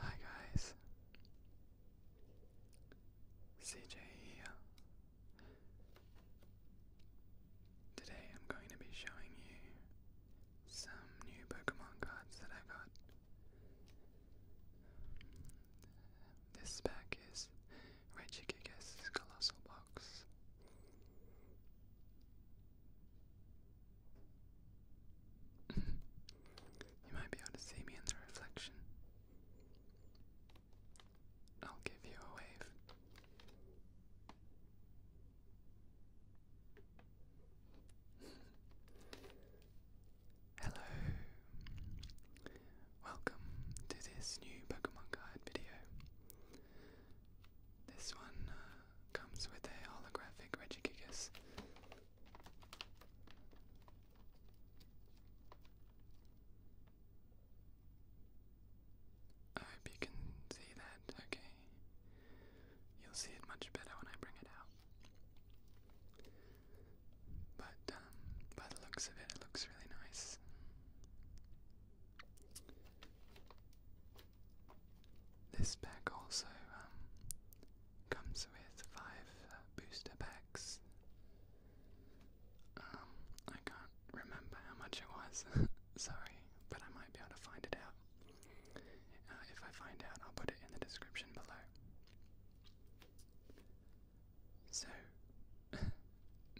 Hi guys, CJ here. Today I'm going to be showing you some new Pokemon cards that I got. This pack is Regigigas Colossal Box you might be able to see me in the reflection. I'll give you a wave. Hello. Welcome to this new Pokemon Guide video. This one uh, comes with a holographic Regigigas. I hope you can see that, okay. You'll see it much better when I bring it out. But um, by the looks of it, it looks really nice. This pack also um, comes with five uh, booster packs. Um, I can't remember how much it was, sorry, but I might be able to find it out. Uh, if I find out, I'll put it in the description below. So,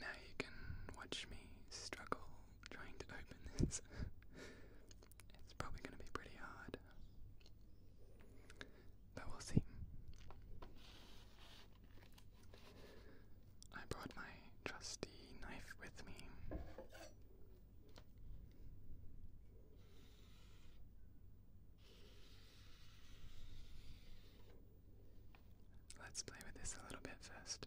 now you can watch me struggle trying to open this. it's probably going to be pretty hard. But we'll see. I brought my trusty knife with me. Let's play with this a little bit first.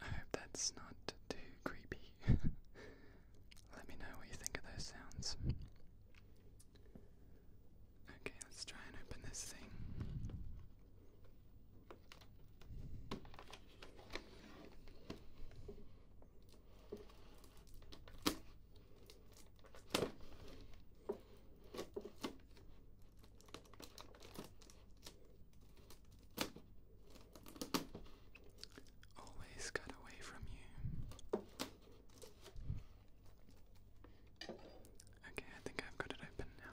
I hope that's not too creepy. Let me know what you think of those sounds. Okay, let's try and open this thing. Always cut away from you. Okay, I think I've got it open now.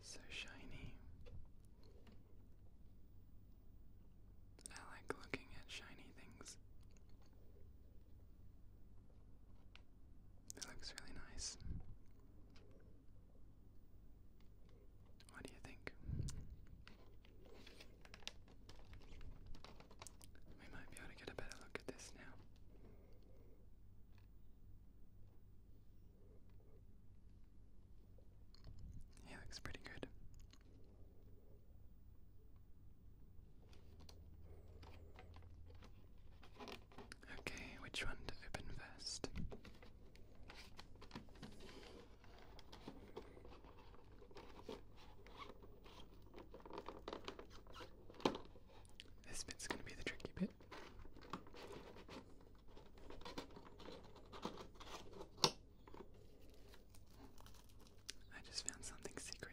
So shiny. I like looking at shiny things. It looks really nice. What do you think? We might be able to get a better look at this now. He looks pretty good. Okay, which one to open first? This bit's gonna be the tricky bit. I just found something secret.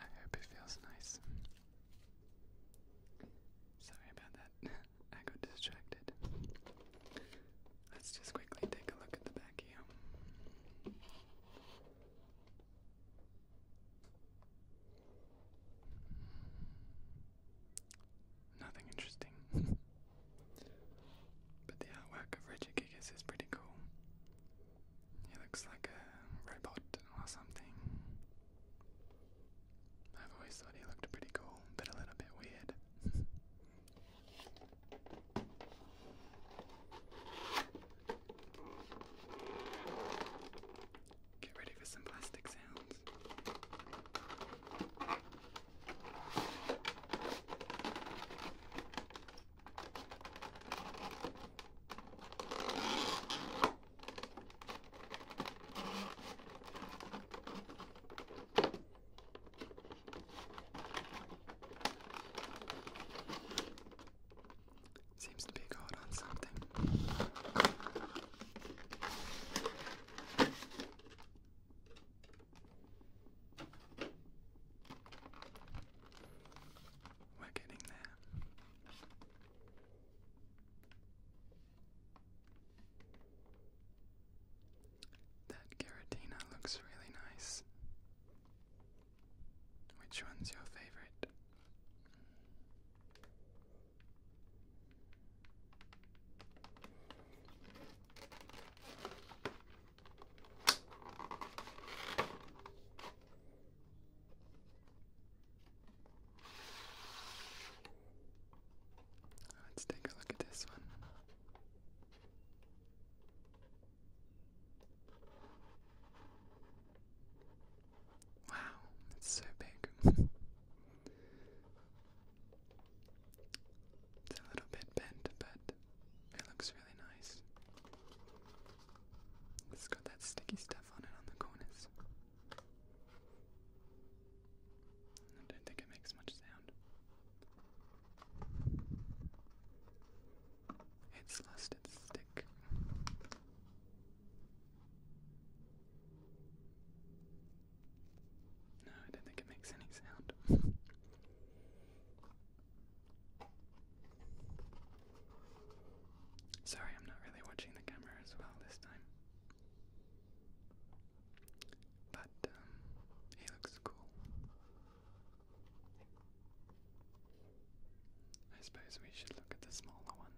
I hope it feels nice. Sorry about that. I got distracted. Let's just quickly take a look at the back here. Nothing interesting. but the artwork of Reggie Gigas is pretty cool. He looks like a robot or something. I've always thought he looked pretty cool, but a little bit weird. Get ready for some plastic sounds. Seems to be caught on something. That Giratina looks really nice. Which one's your favorite? Let's take a look at this one. Wow, it's so big. it's a little bit bent, but it looks really nice. It's got that sticky stuff on it on the corners. I don't think it makes much sound. It's lost its stick. No, I don't think it makes any sound. Sorry, I'm not really watching the camera as well this time. But um, he looks cool. I suppose we should look at the smaller one.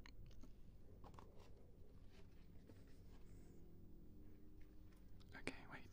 Okay, wait.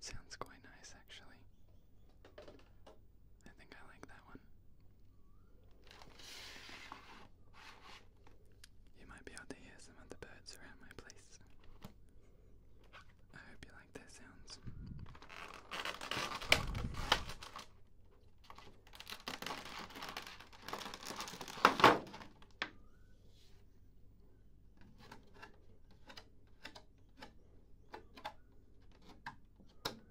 Sounds quite nice, actually. I think I like that one. You might be able to hear some of the birds around my place. I hope you like their sounds.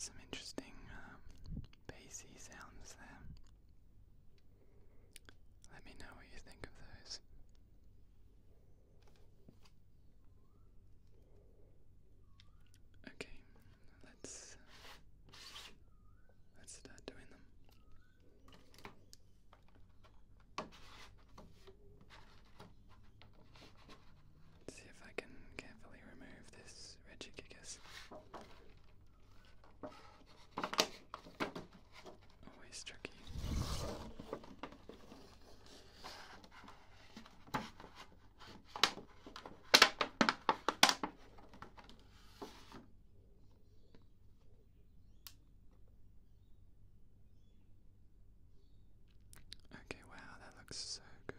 Some interesting um, bassy sounds there. Let me know what you think of those. Okay, let's let's start doing them. see if I can carefully remove this Regicicus. Always tricky. Okay, wow, that looks so good.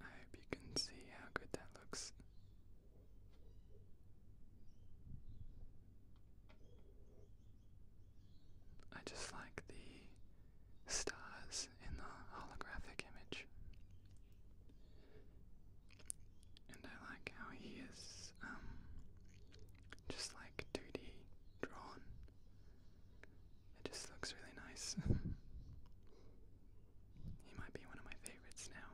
I hope you can see how good that looks. I just like the stars in the holographic image. And I like how he is um, just like 2D drawn. It just looks really nice. he might be one of my favorites now.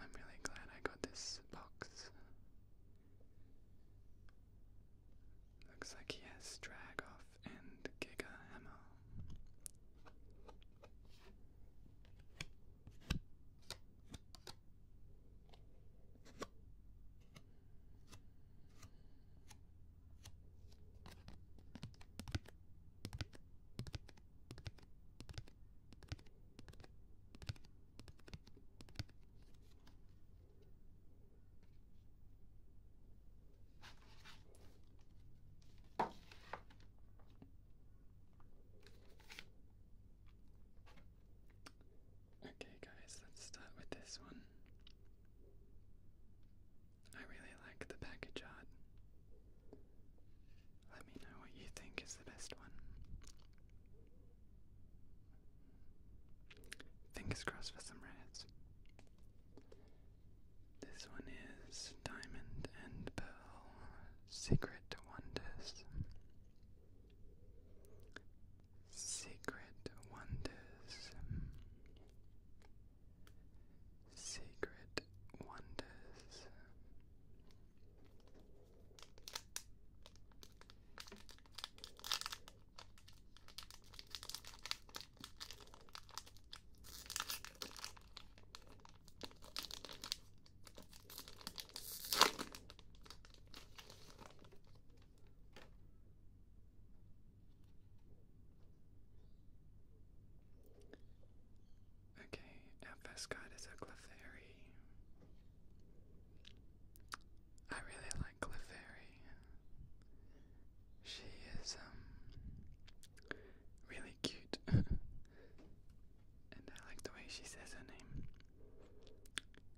I'm really glad I got this box. Looks like he has Dragoff and Giga Ammo. Okay, guys, let's start with this one. I really like the package art. Let me know what you think is the best one. Fingers crossed for some rares. This one is Diamond and Pearl Secret Wonders. Secret Wonders. Secret Wonders. Okay, Ambescot is a Clefairy. I really like Clefairy. She is, um, really cute. and I like the way she says her name.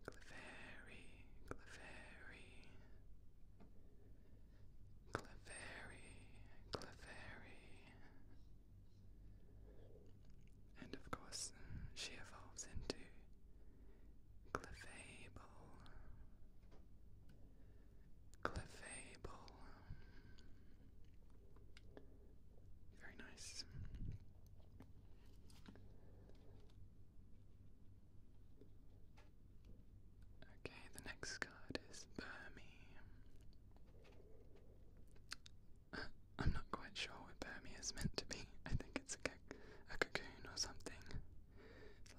Clefairy, Clefairy. Clefairy, Clefairy. And of course, she evolves into Clefable. Clefable. Very nice. Okay, the next card is Burmy. I'm not quite sure what Burmy is meant to be. I think it's a, cocoon or something.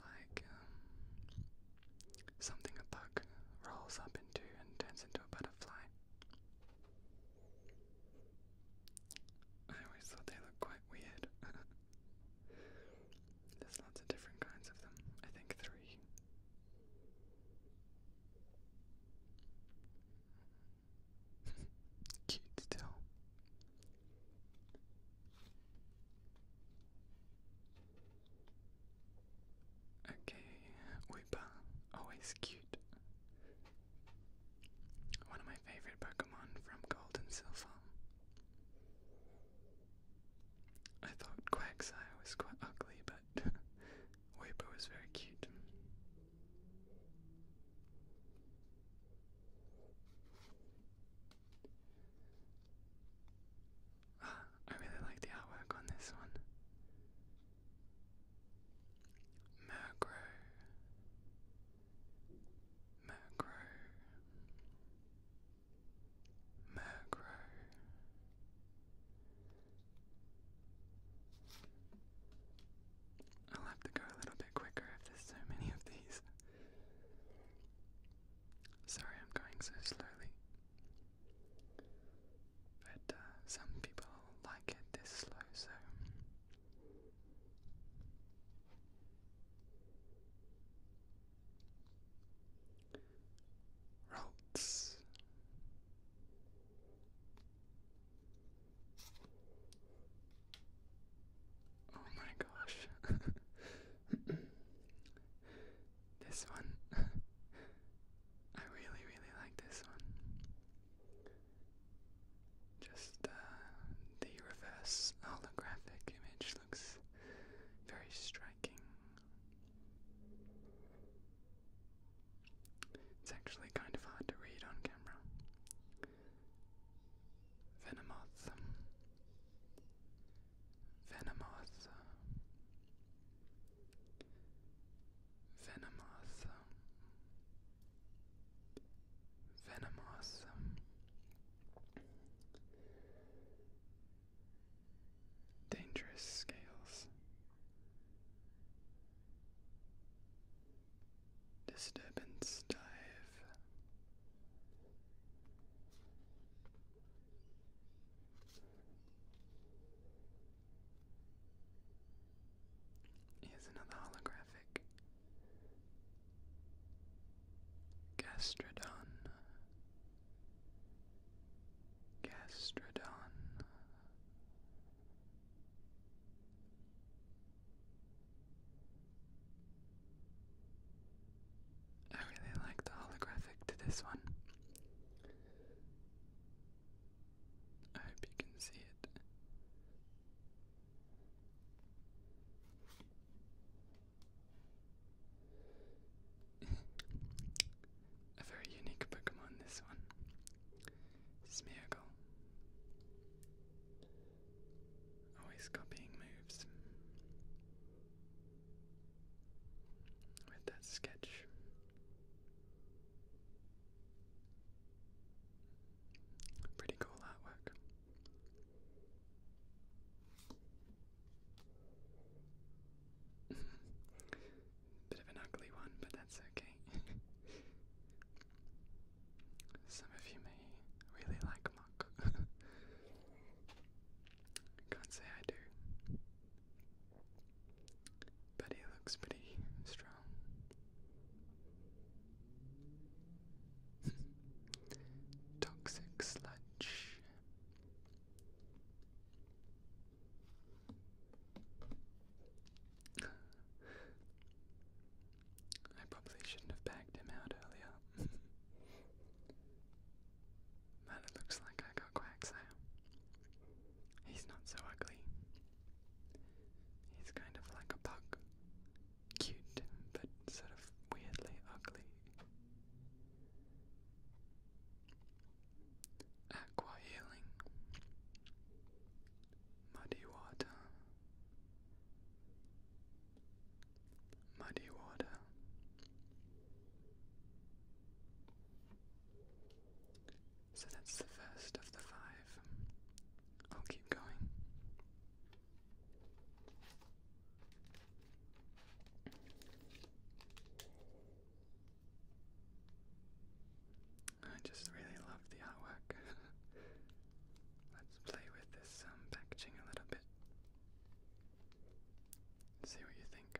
Like, um, something a bug rolls up into and turns into a butterfly. I always thought they looked quite weird. There's lots of different kinds of them. I think three. Cute still. Okay, Weeper, always cute. One of my favorite Pokemon from Gold and Silver. I thought Quagsire was quite ugly, but Weibo is very cute. Ah, I really like the artwork on this one. Murkrow. Murkrow. Murkrow. I'll have to go a little bit quicker if there's so many of these. Sorry, I'm going so slowly. But uh, some people like it this slow, so routes. Oh my gosh. this one. I really, really like this one. Just uh, the reverse holographic image looks very striking. It's actually kind of hard to read on camera. Venomoth. Venomoth. Venomoth. Venomous, dangerous scales, disturbance dive. Here's another holographic Gastrodon Gastrodon I really like the holographic to this one. I hope you can see it. A very unique Pokemon, this one. Smeargle. Always copying moves. With that sketch. Pretty cool artwork. Bit of an ugly one, but that's okay. Some of you may really like muck. Can't say I do. But he looks pretty strong. Toxic sludge. I probably shouldn't have bagged him out earlier. but it looks like I got Quagsire. He's not so ugly. He's kind of like a pug. Cute, but sort of weirdly ugly. Aqua Healing, Muddy Water, Muddy Water, so that's the first of the five. I'll keep going. I just really love the artwork. Let's play with this um, packaging a little bit. See what you think.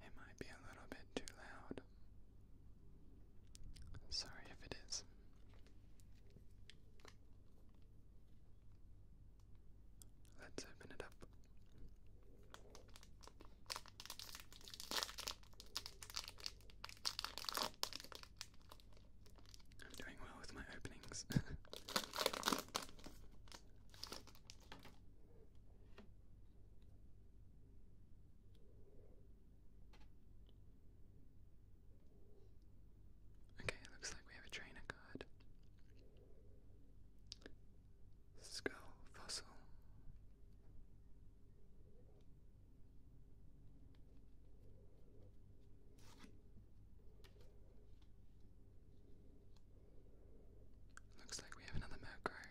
It might be a little bit too loud. Sorry if it is. Let's open it up. I'm doing well with my openings. Okay, it looks like we have a trainer card skull fossil. Looks like we have another Murkrow.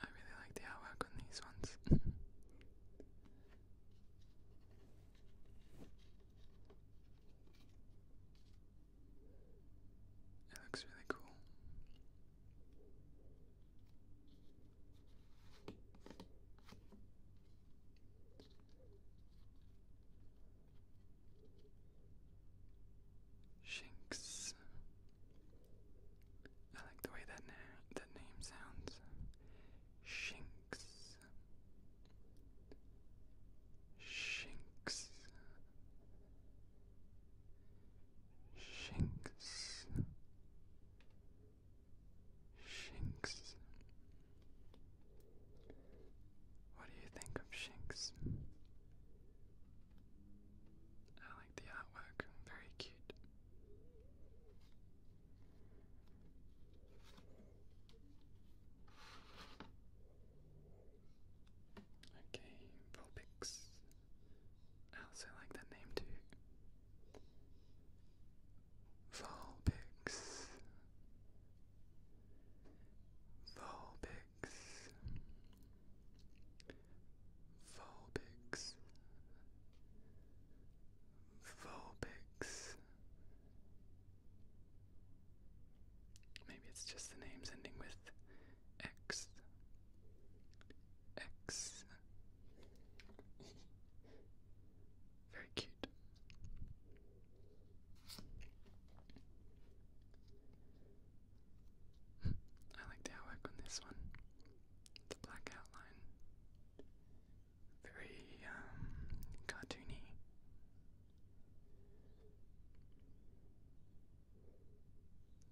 I really like the artwork on these ones. It looks really cool. Shinx. I like the way that na that name sounds. Shinx. Shinx. Shinks, Shinks. What do you think of Shinks? I like the artwork, very cute. Okay, Vulpix. I also like that name too. Vulpix. Vulpix. Vulpix. Vulpix. Maybe it's just the names ending with X. X. Very cute. I like the outlook on this one. The black outline. Very um, cartoony.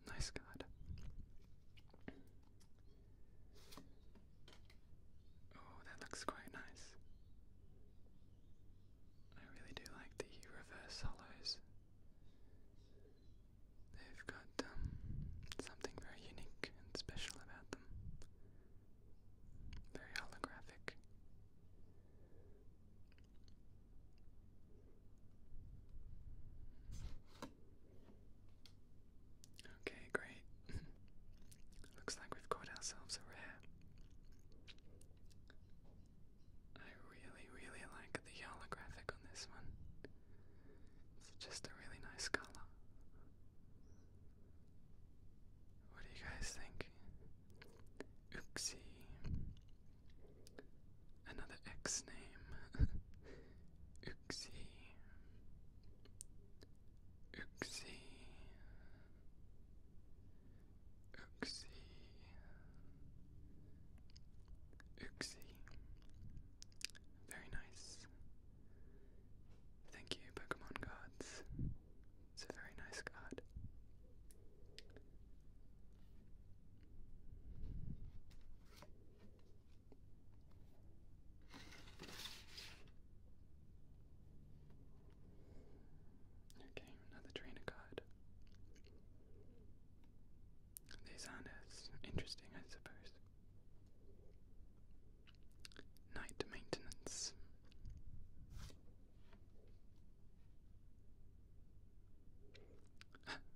Nice God. Oh, that looks quite nice. I really do like the reverse hollows. They've got um, something very unique and special about them. Very holographic. Okay, great. Looks like we've got ourselves a rare. I really, really like the Yala on this one. It's just a really nice color. What do you guys think? Uxie. Another X name. Uxie. Uxie. Uxie. Uxie. Very nice. Thank you, Pokemon Gods. It's a very nice card. Okay, another trainer card. These are interesting, I suppose. Night maintenance.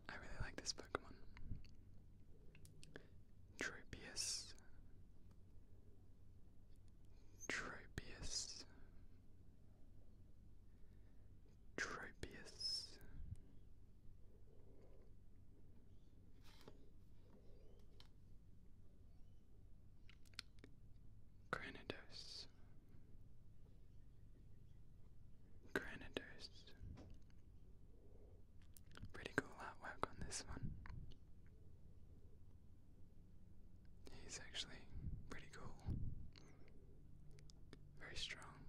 I really like this Pokemon. Tropius. Tropius. Tropius. Granados. Granados. Pretty cool artwork on this one. He's actually pretty cool. Very strong.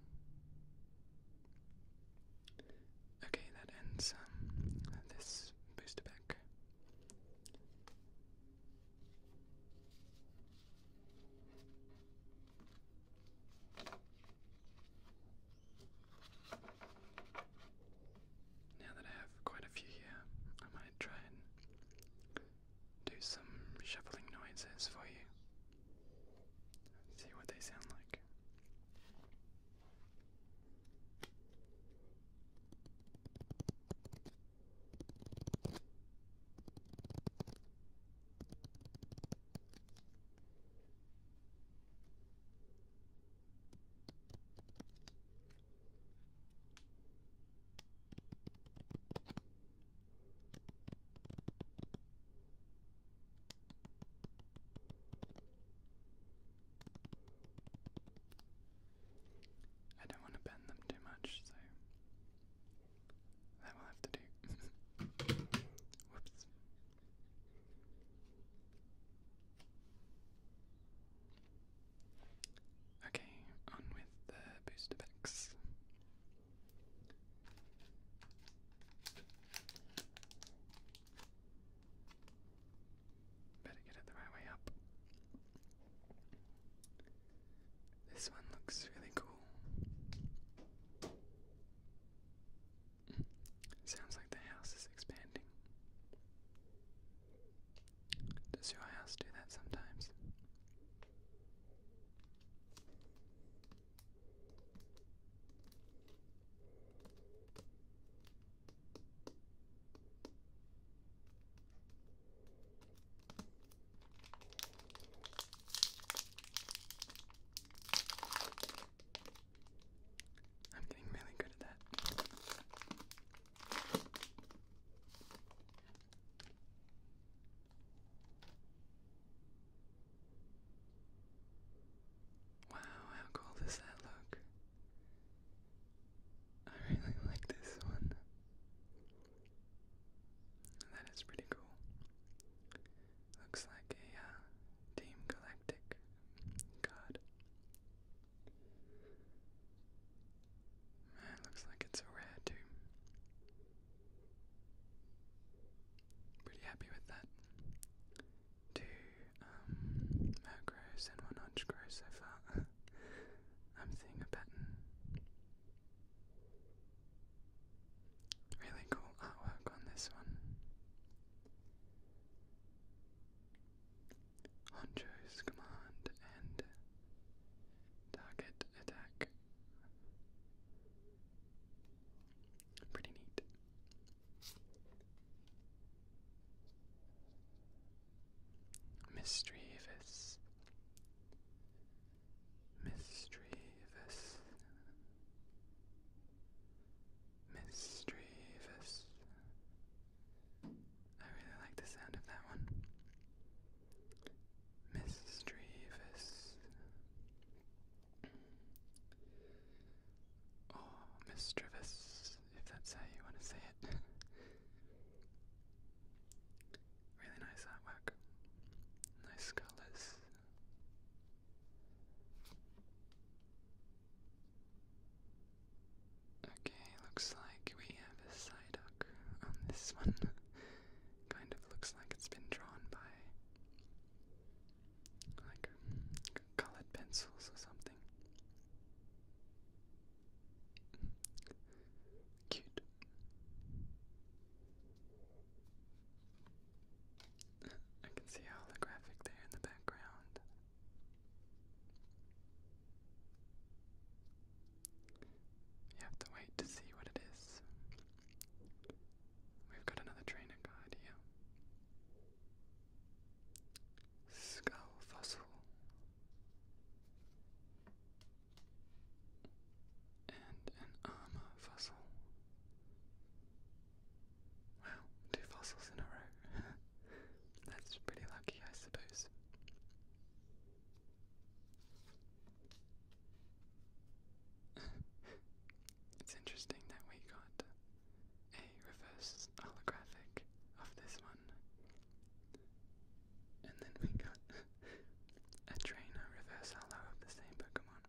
Okay, that ends um, this booster pack. Now that I have quite a few here, I might try and do some shuffling noises for you. See what they sound like. I don't want to bend them too much, so that will have to do. Whoops. Okay, on with the booster packs. Better get it the right way up. This one looks really cool. sounds like the house is expanding. Does your house do that sometimes? I'm getting really good at that. Wow, how cool does that look? I really like this one. That is pretty cool. Looks like a uh, Team Galactic card. It looks like it's a rare too. Pretty happy with that. Two um, and one Honchgrow so far. I'm seeing a pattern. Really cool artwork on this one. Honcho's command and target attack. Pretty neat. Mischievous mischievous, mischievous. I really like the sound of that one. Mischievous. Oh, mischievous, if that's how you want to say it. Really nice artwork. Nice colors. Okay, looks like we have a side duck on this one. kind of looks like it's been drawn by like colored pencils or something. Cute. I can see holographic there in the background. You have to wait to see what it is. We've got another trainer card here. Skull fossil and an armor fossil. Wow, two fossils in a row. That's pretty lucky, I suppose. it's interesting that we got a reverse holographic of this one and then we got a trainer reverse hollow of the same Pokemon.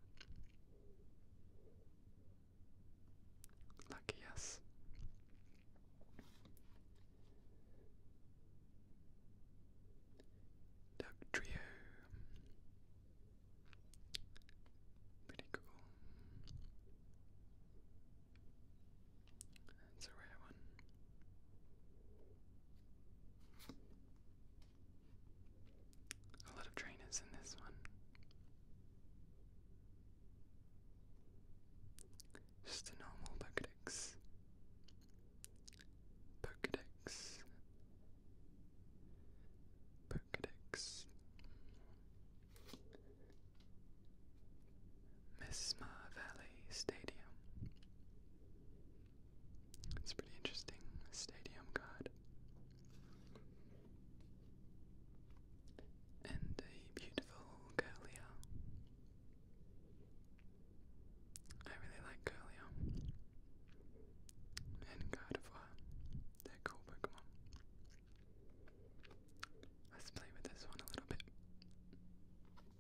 Lucky us. Duck Trio. Pretty cool. It's a rare one. A lot of trainers in this one. Just a normal Pokedex. Pokedex. Pokedex. Mesma Valley Stadium. It's pretty interesting. Stadium guard And a beautiful Curlia. I really like Curlia. And Gardevoir. They're cool Pokemon. Let's play with this one a little bit.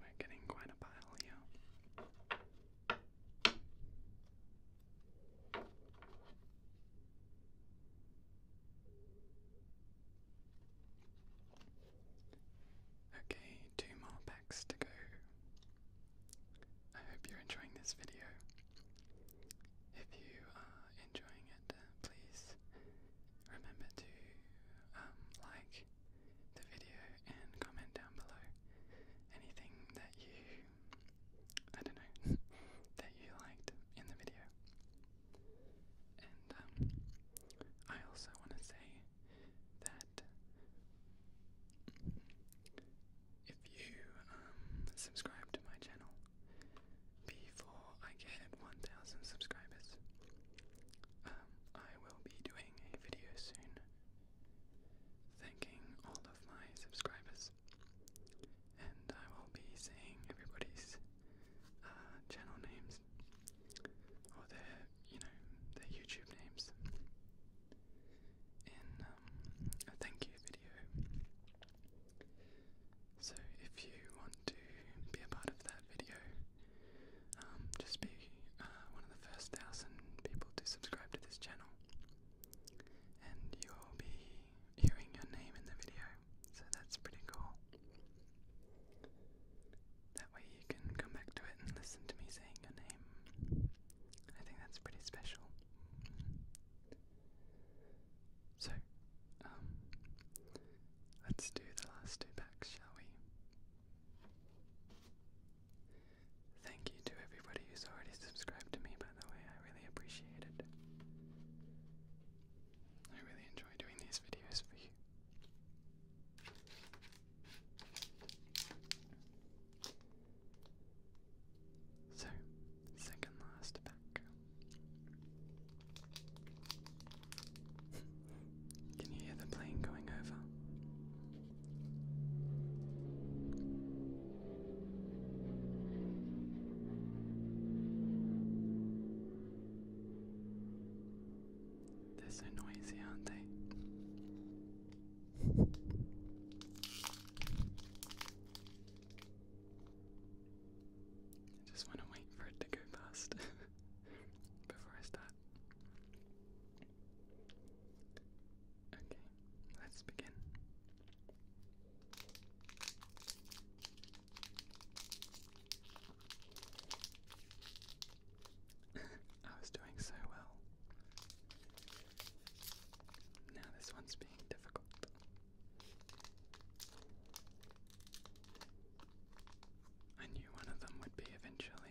We're getting quite a pile here. Okay, two more packs to go. I hope you're enjoying this video. If you enjoying it, please remember to um, like the video and comment down below anything that you, I don't know, that you liked in the video. And um, I also want to say that if you um, subscribe to my channel, before I get 1,000 subscribers. Um, I will be doing a video soon thanking all of my subscribers, and I will be saying everybody's uh, channel names or their, you know, their YouTube names in um, a thank you video. So if you want to be a part of that video, um, just be uh, one of the first thousand people to subscribe to this channel, and you'll be hearing your name in the video. So that's pretty cool. That way you can come back to it and listen to me saying your name. I think that's pretty special. So, um, let's do the last two packs, shall we? Thank you to everybody who's already subscribed to me, by the way, I really appreciate it. I really enjoy doing these videos for you. So, second last pack. Can you hear the plane going over? They're so noisy, aren't they? I just want to wait for it to go past before I start. Okay, let's begin. I was doing so well. Now this one's being difficult. I knew one of them would be eventually.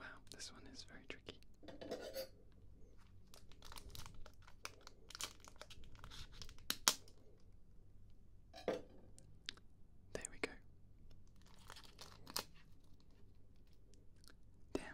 Wow, this one is very tricky. There we go. Damn.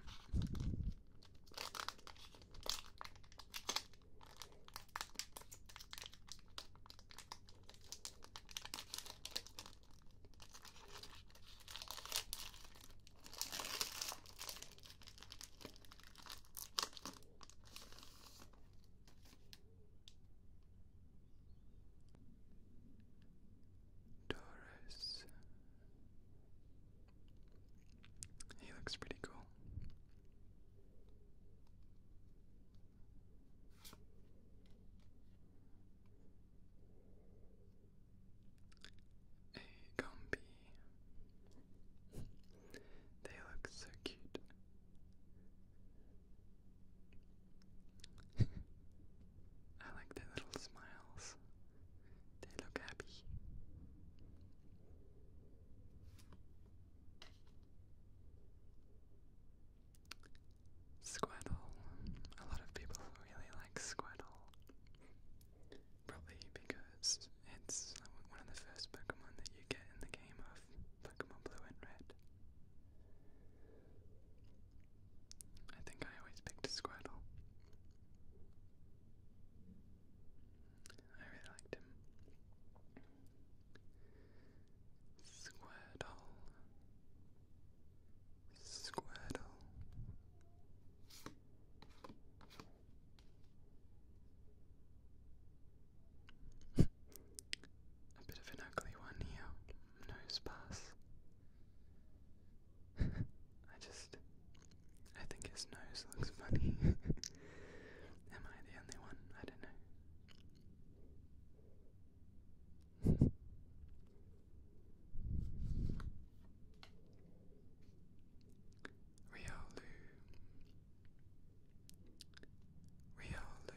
Taurus. He looks pretty cool. A Gumby. They look so cute. I like their little smiles. They look happy. Squirtle. A lot of people really like Squirtle. Probably because because it's one of the first Pokemon that you get in the game of Pokemon Blue and Red. I think I always picked Squirtle. I really liked him. Squirtle. Squirtle. A bit of an ugly one here. Nose pass. I just. I think his nose looks funny. Am I the only one? I don't know. Riolu. Riolu,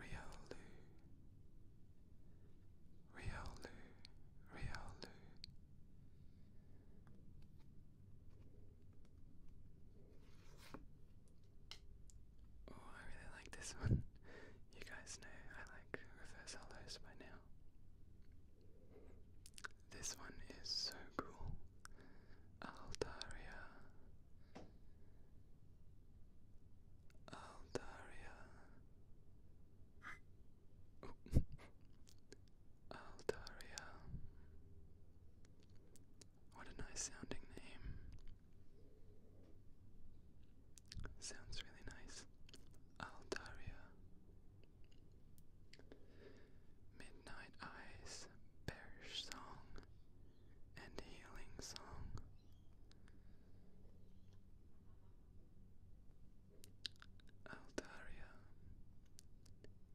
Riolu, Riolu, Riolu. Oh, I really like this one. You guys know I like reverse hollows by now. This one is so cool. Altaria. Altaria. Oh. What a nice sounding name. Sounds really nice. Altaria. Midnight Eyes, Parish Song, and Healing Song. Altaria,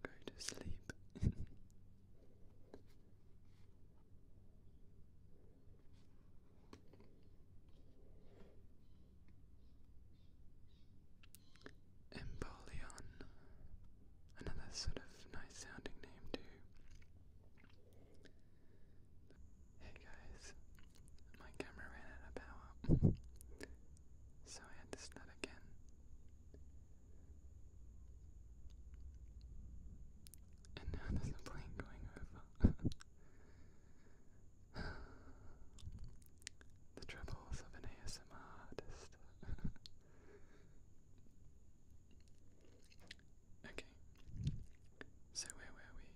go to sleep. Empoleon, another sort of nice sounding name too. Hey guys, my camera ran out of power, so I had to start again. And now there's a plane going over. the troubles of an ASMR artist. Okay. So where were we?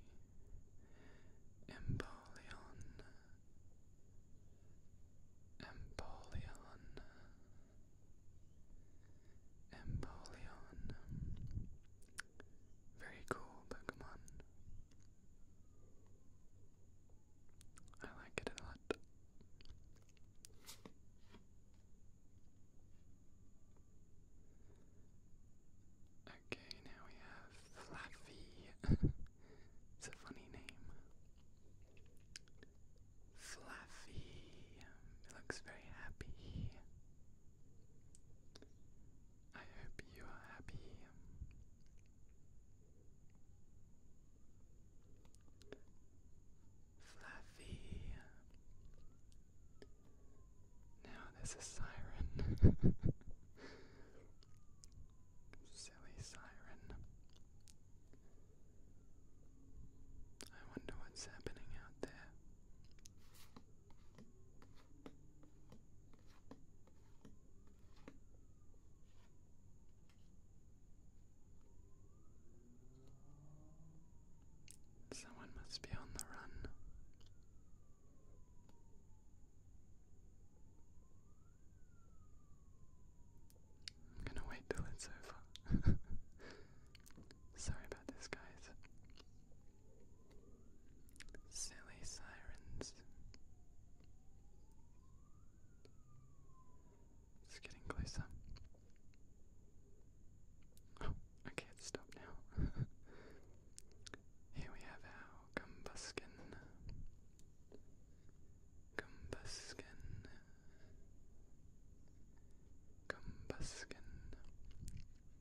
Empoleon. Empoleon. Empoleon. Very cool Pokemon. I like it a lot. Okay, now we have Fluffy. it's a funny name. Fluffy. looks very happy. I hope you are happy. Fluffy. Now there's a siren. Silly siren. I wonder what's happening out there. Someone must be on the run. I'm gonna wait till it's over. Sorry about this, guys. Silly sirens. It's getting closer. Oh, okay, it's stopped now. Here we have our gumbuskin. Gumbuskin. Gumbuskin.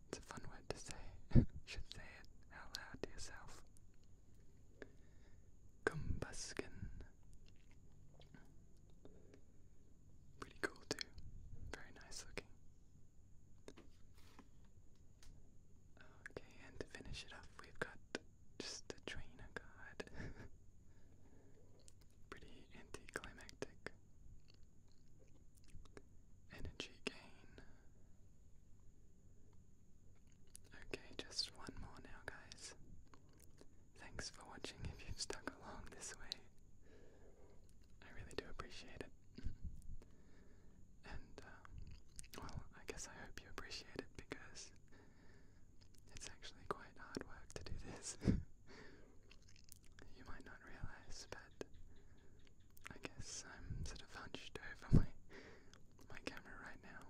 It's a fun word to say. Should say it out loud to yourself. Gumbuskin. Pretty cool too. Very nice looking. Okay, and to finish it off, we've got just a train God. Pretty anticlimactic. Energy gain. Okay, just one more now, guys. Thanks for watching if you stuck along this way. I really do appreciate it. And, uh, well, I guess I hope you appreciate it because it's actually quite hard work to do this. you might not realize, but I guess I'm sort of hunched over my my camera right now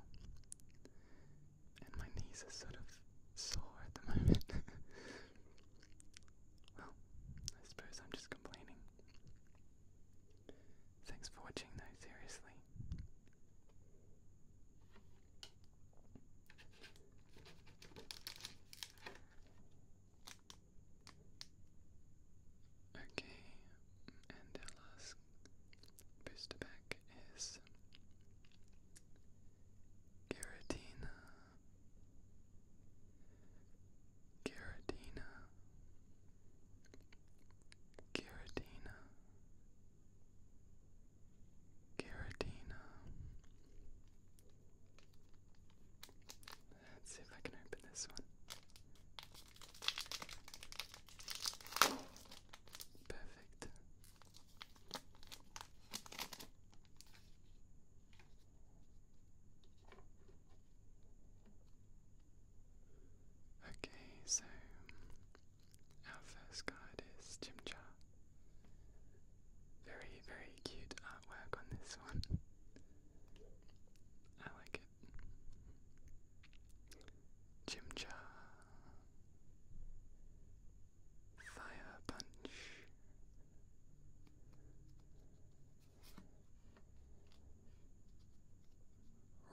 and my knees are sort of sore at the moment. well, I suppose I'm just complaining. Thanks for watching, though, seriously. Okay, and our last Booster pack is Giratina, Giratina, Giratina, Giratina. Let's see if I can open this one. Perfect. Okay, so our first card is Chimchar. Very, very cute artwork on this one. I like it. Chimchar Fire Punch.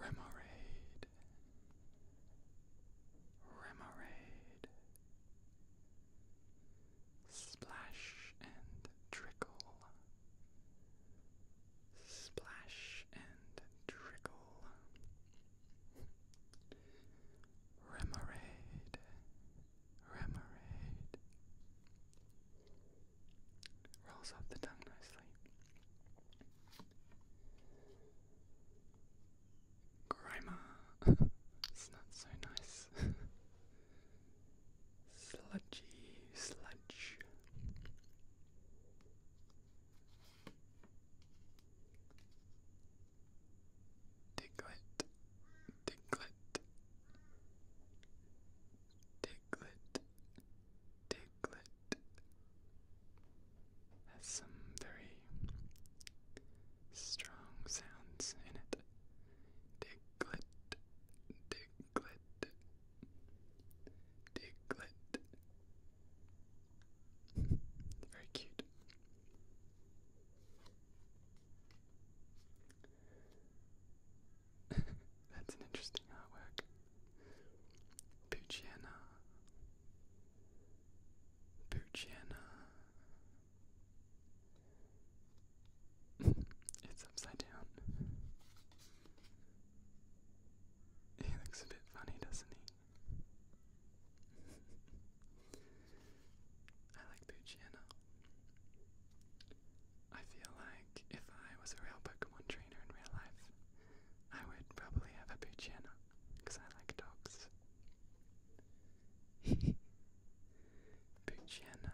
Remoraid. Remoraid. Splash and trickle. Splash and trickle. Remoraid, Remoraid. Rolls off the tongue nicely. Grimer, it's not so nice. Sludgy, sludge. Diglett, Diglett, Diglett, Diglett has some very strong sounds in it. Diglett, Diglett, Diglett, very cute. That's an interesting artwork. Pucciana. Pucciana. it's upside down. He looks a bit funny, doesn't he? I like Poochyena. I feel like if I was a real Pokemon trainer in real life, I would probably have a Poochyena, because I like dogs. Poochyena.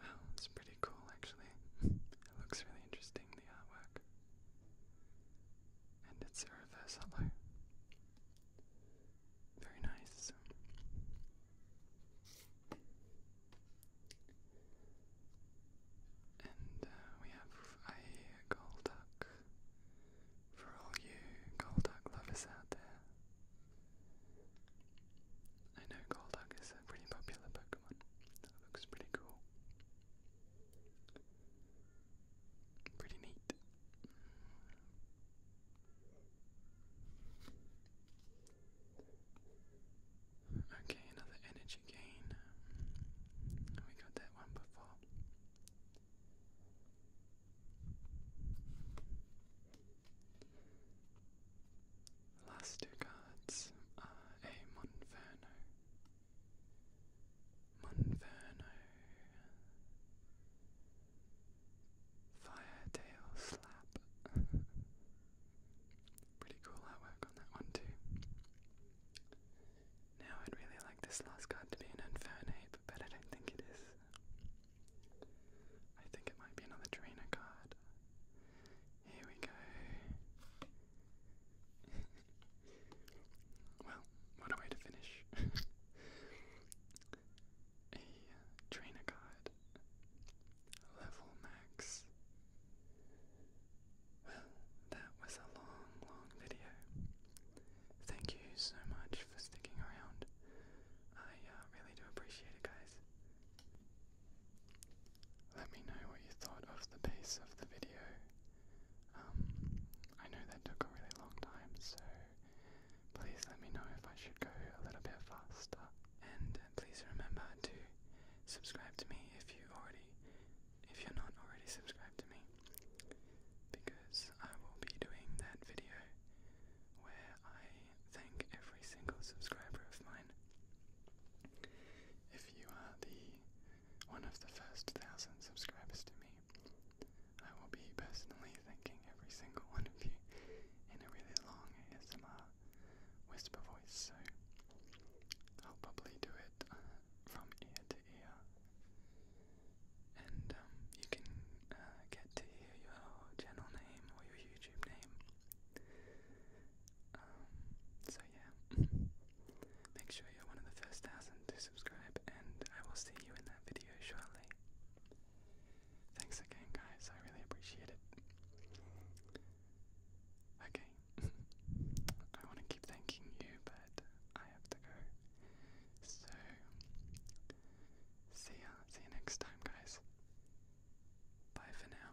Wow, it's pretty cool actually. it looks really interesting, the artwork. And it's a reverse Very nice. And uh, we have a Golduck for all you Golduck lovers out there. I know Golduck is a pretty popular Pokemon looks pretty cool. Pretty neat. Okay, another energy gain. We got that one before. The last two cards are a Monferno. Monferno. Fire tail slap. Pretty cool artwork on that one too. Now I'd really like this last card to be an Infernape, but I don't think it is. I think it might be another Trainer card. Here we go. well, what a way to finish. a uh, trainer card. Level max. Well, that was a long, long video. Thank you so much for sticking around. I uh, really do appreciate it, guys. Let me know what you thought of the pace of the video. Um, I know that took a really long time, so please let me know if I should go a little bit faster. And please remember to subscribe to me if you already, if you're not already subscribed to me, because I will be doing that video where I thank every single subscriber of mine if you are the one of the first thousand subscribers to me. I will be personally thanking every single one of you in a really long ASMR whisper voice, so I'll probably do it uh, from ear to ear. And um, you can uh, get to hear your channel name or your YouTube name um, so yeah, make sure you're one of the first thousand to subscribe, and I will see you in that video shortly. Thanks again, guys, I really appreciate it. Okay, I want to keep thanking you, but I have to go. So, see ya, see you next time, guys. Bye for now.